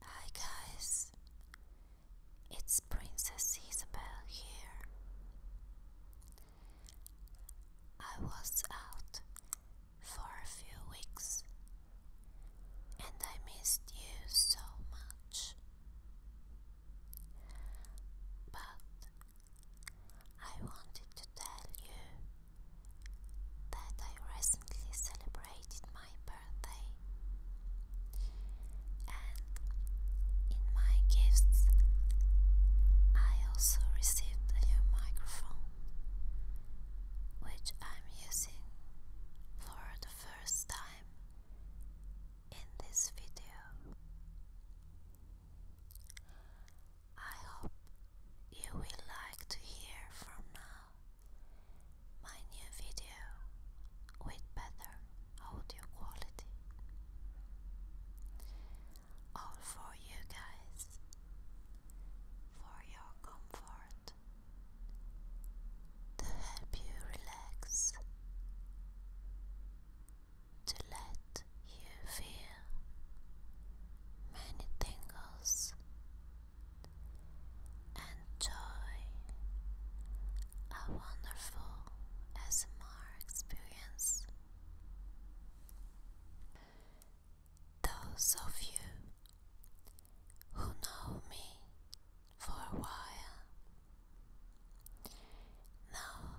Hi guys, it's Princess Isabel here. I was out for a few weeks and I missed you so much. But I wanted to tell you that I recently celebrated my birthday, and in my gifts, I also received a new microphone, which I'm using for the first time in this video. I hope you will like to hear from now my new video with better audio quality. All for you guys, for your comfort, to help you relax, to let you feel many tingles and joy, a wonderful SMR experience. Those of you who know me for a while know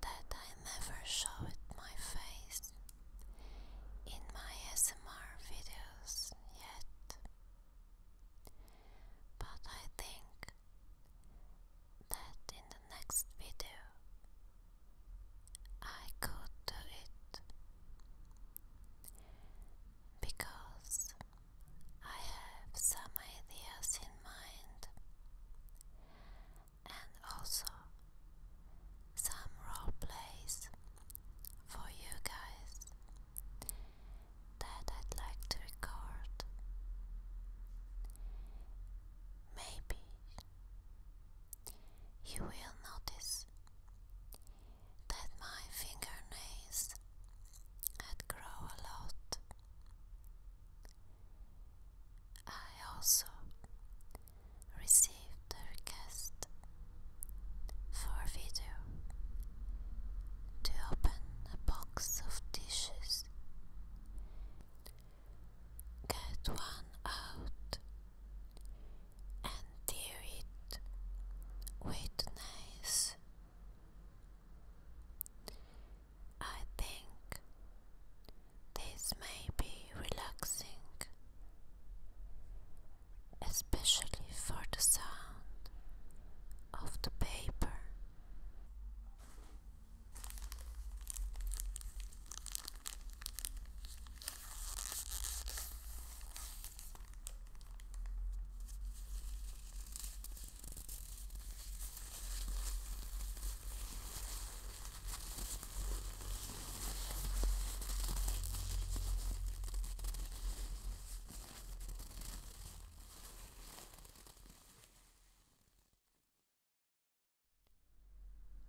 that I never showed my face in my ASMR videos yet, but I think that in the next video I could do it because I have some ideas in mind and also some role plays for you guys that I'd like to record. Maybe you will notice that my fingernails had grown a lot. I also received a request for a video to open a box of dishes, get one out, and tear it with knives. I think this may be relaxing, especially for the sound of the paper.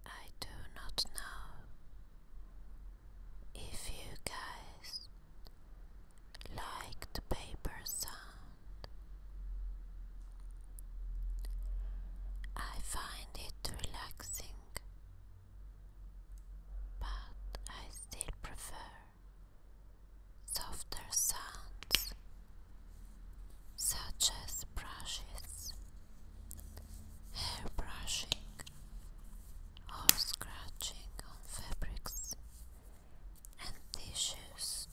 I do not know if you guys like the paper sound. I find it relaxing, but I still prefer softer sounds such as brushes, hair brushing, or scratching on fabrics and tissues.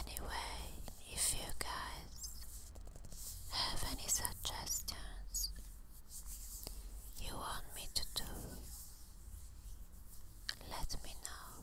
Anyway, if you guys have any suggestions you want me to do, let me know.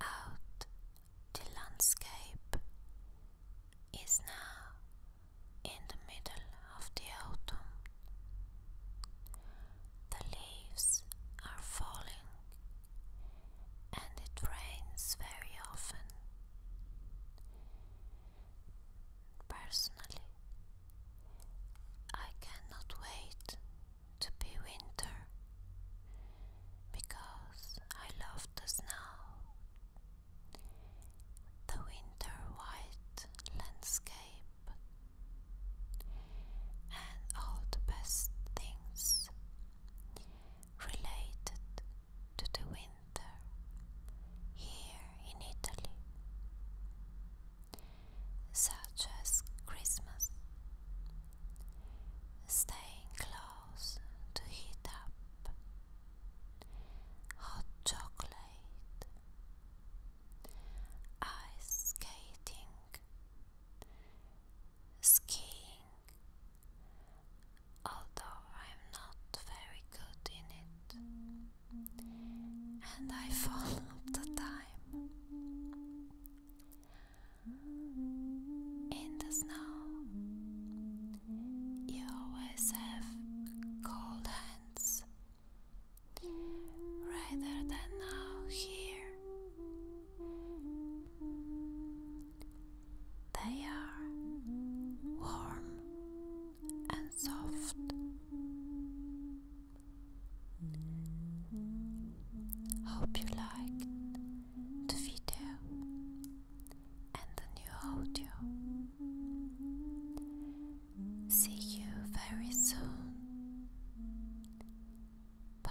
Out the landscape is now in the middle of the autumn. The leaves are falling and it rains very often. Personally, I cannot wait to be winter because I love the snow. The winter white landscape and all the best things related to the winter here in Italy such as Christmas, staying close to heat up, hot chocolate, ice skating, skiing, although I'm not very good in it and I follow the time in the snow. You always have cold hands rather than now here. They are warm and soft. Hope you liked the video and the new audio. See you very soon. Bye.